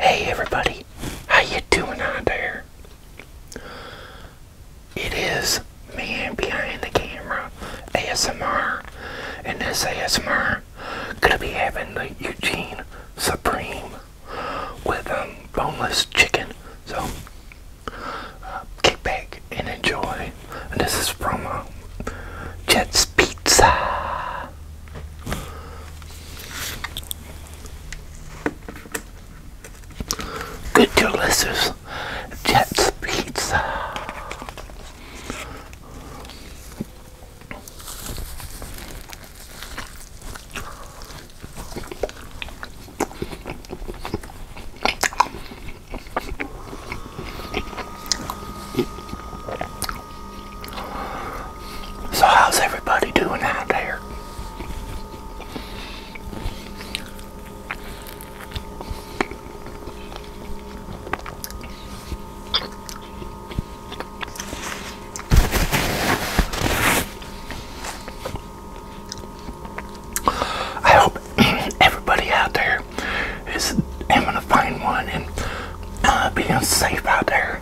Hey everybody, how you doing out there? It is man behind the camera ASMR, and this ASMR gonna be having the Eugene Supreme with um boneless chicken. So uh, kick back and enjoy. And this is from um, Jets Pizza. Good delicious Jets pizza. So how's everybody doing out there? I hope everybody out there is having a fine one and uh, being safe out there.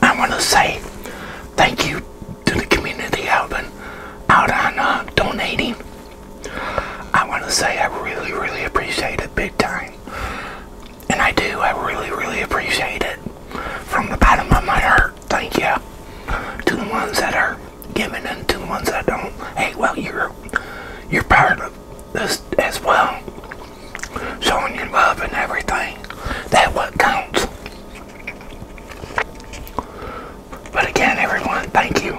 I want to say thank you to the community out helping out on donating. I want to say I really, really appreciate it big time. And I do. I really, really appreciate it from the bottom of my heart. Thank you to the ones that are giving and to the ones that don't. Hey, well, you're you're part of this as well. Showing your love and everything. That what counts. But again, everyone, thank you.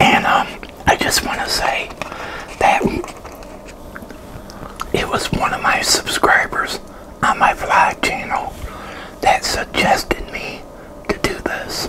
And um, I just want to say that it was one of my subscribers on my vlog channel that suggested me to do this.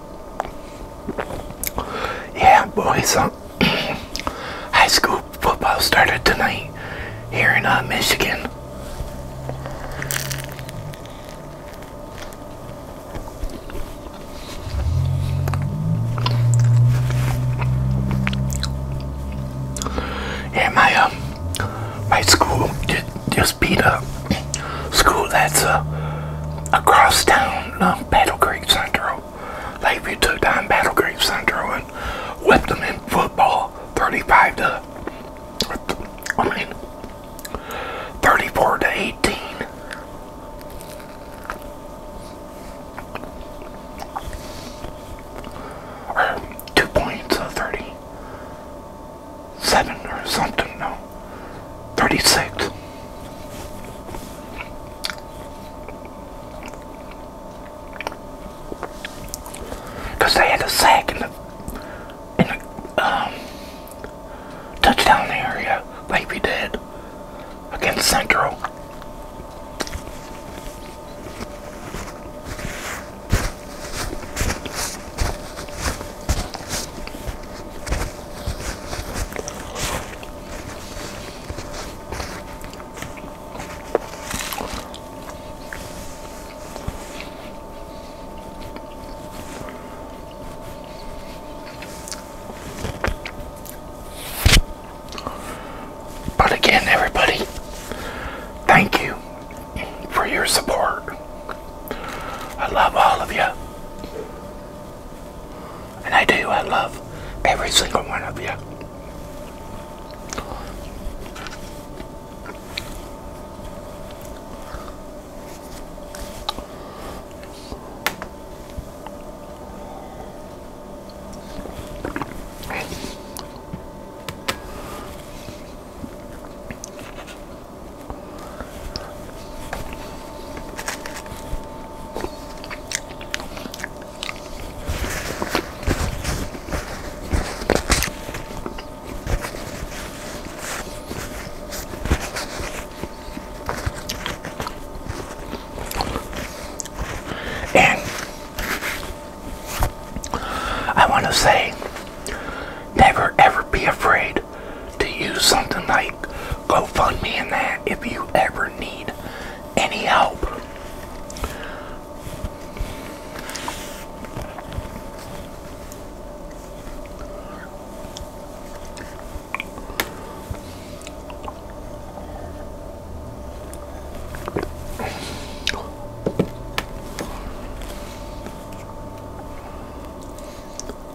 Yeah, boys. Uh, high school football started tonight here in uh, Michigan. Yeah, my um, my school just beat up school that's a across town, uh, Battle Creek Central. beat two-time Battle Creek Central and whipped them in football 35 to, I mean, 34 to 18. two points of 30. Seven or something, no, 36. Because they had a sack in the, in the um, touchdown area, like we did, against Central. But again, everybody, thank you for your support. I love all of you. And I do, I love every single one of you. And I want to say, never ever be afraid to use something like GoFundMe in that if you ever need any help.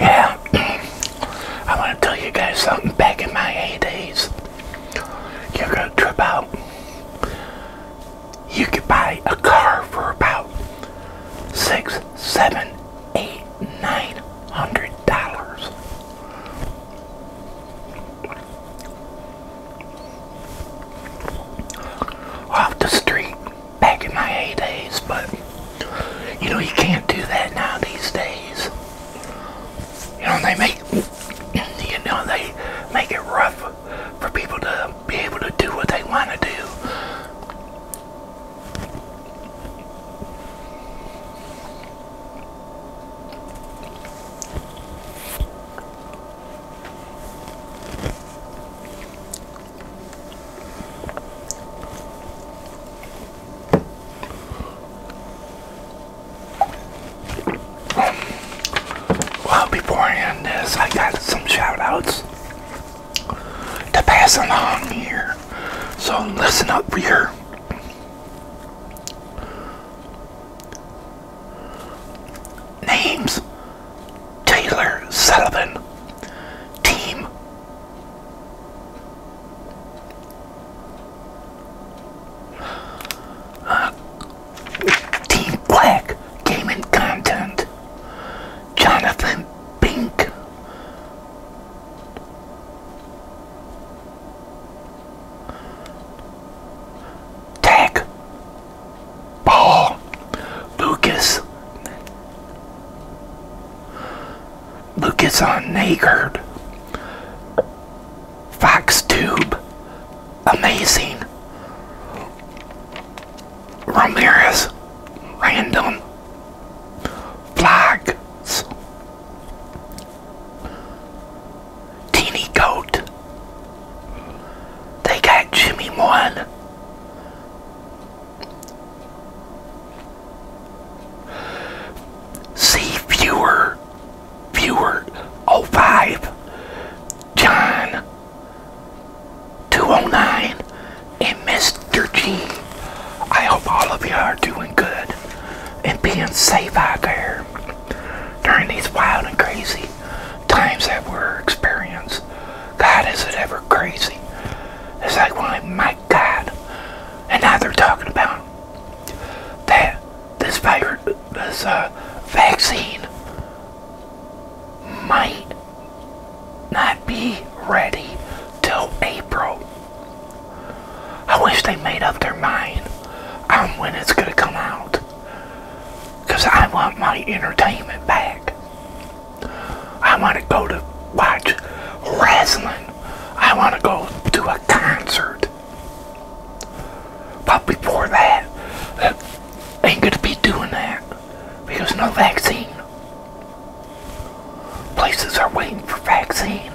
Yeah, I want to tell you guys something back in my heydays. You ever trip out? you could buy a car for about six, seven, eight, nine hundred dollars. Off the street back in my heydays, but you know you can't do that now these days. You know they make you know they make it rough for people to be able to do what they want to do. Well, beforehand this, I got some shout outs to pass along here. So listen up here. Names Taylor Sullivan Team uh, Team Black gaming content, Jonathan Pink. Tag Paul Lucas Lucas on Nagard Fox Tube Amazing Ramirez random flags. Teeny Goat. They got Jimmy one. See viewer, viewer oh five, John 209 and Mr. G. I hope all of you are doing good and being safe out there during these wild and crazy times that we're experiencing. God, is it ever crazy? It's like, well, my God. And now they're talking about that this virus, this uh, vaccine might not be ready till April. I wish they made up their mind on when it's going to come out. Because I want my entertainment back. I want to go to watch wrestling. I want to go to a concert. But before that, I uh, ain't going to be doing that because no vaccine. Places are waiting for vaccine.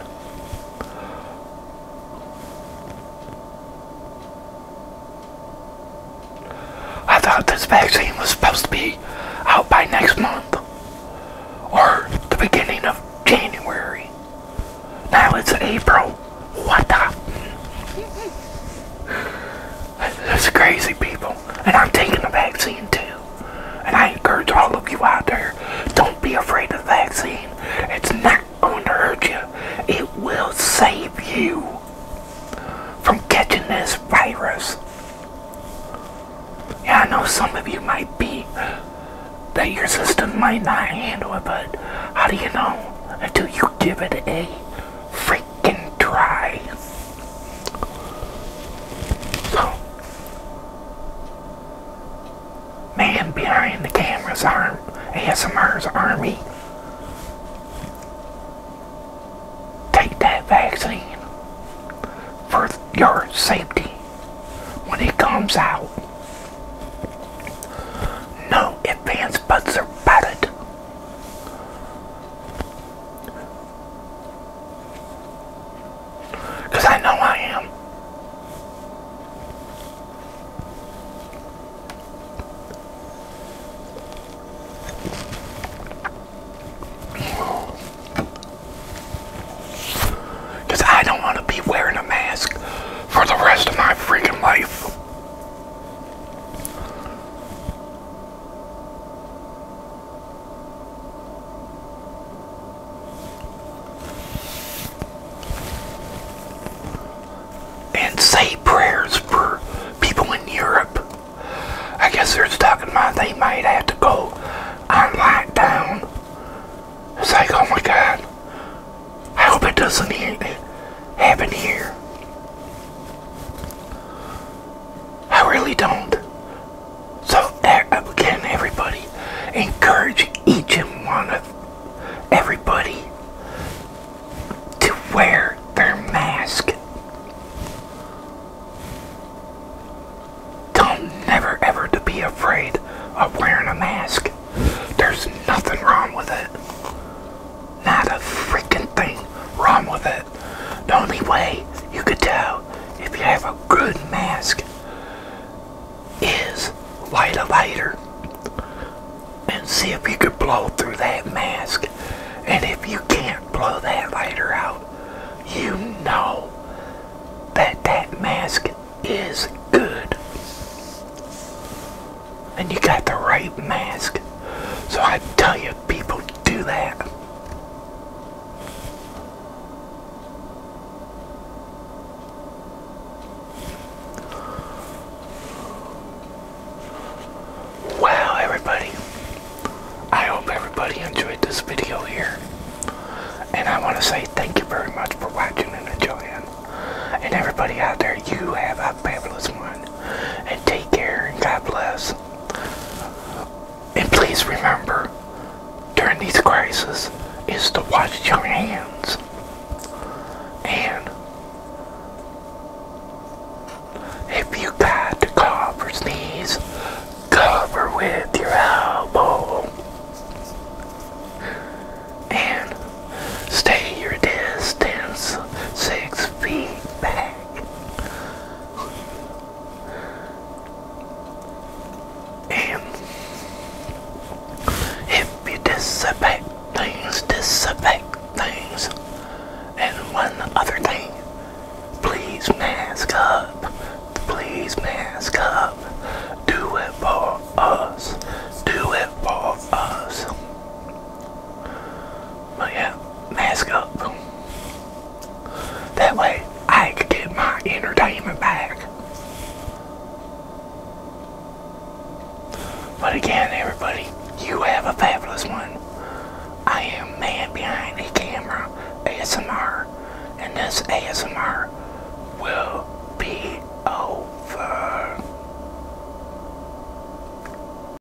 I thought this vaccine was supposed to be out by next month or the beginning of January. Now it's April. What the? There's crazy people. And I'm taking the vaccine too. And I encourage all of you out there, don't be afraid of the vaccine. It's not going to hurt you. It will save you from catching this virus. Yeah, I know some of you might be that your system might not handle it, but how do you know until you give it a free freaking dry. So, man behind the camera's arm, ASMR's army, take that vaccine for your safety when it comes out. No advance buts about it. Because I know I am. Because I don't want to be wearing a mask for the rest of my freaking life. And say prayers for people in Europe. I guess they're talking mind. they might have to go on lockdown. It's like, oh my god. I hope it doesn't happen here. I really don't. So, again, everybody, encourage each and one of everybody to wear their mask. Don't never ever to be afraid of wearing a mask. There's nothing wrong with it. Not a freaking thing wrong with it. The only way you could tell if you have a good mask is light a lighter and see if you could blow through that mask. And if you can't blow that lighter out, you know that that mask is good. And you got the right mask. So I tell you, people do that? Wow, everybody. I hope everybody enjoyed this video here. And I want to say thank you very much for watching and enjoying. And everybody out there, you have a fabulous one. And take care and God bless. And please remember, during these crises, is to wash your hands. And if you got to cough or sneeze, cover with your elbow. And stay your distance six feet back. And if you disaffect things, disaffect things. And one other thing, please mask up. Please mask up. Do it for us. Do it for us. But yeah, mask up. That way I could get my entertainment back. But again, everybody, you have a fabulous one. I am man behind the camera ASMR, and this ASMR will be over.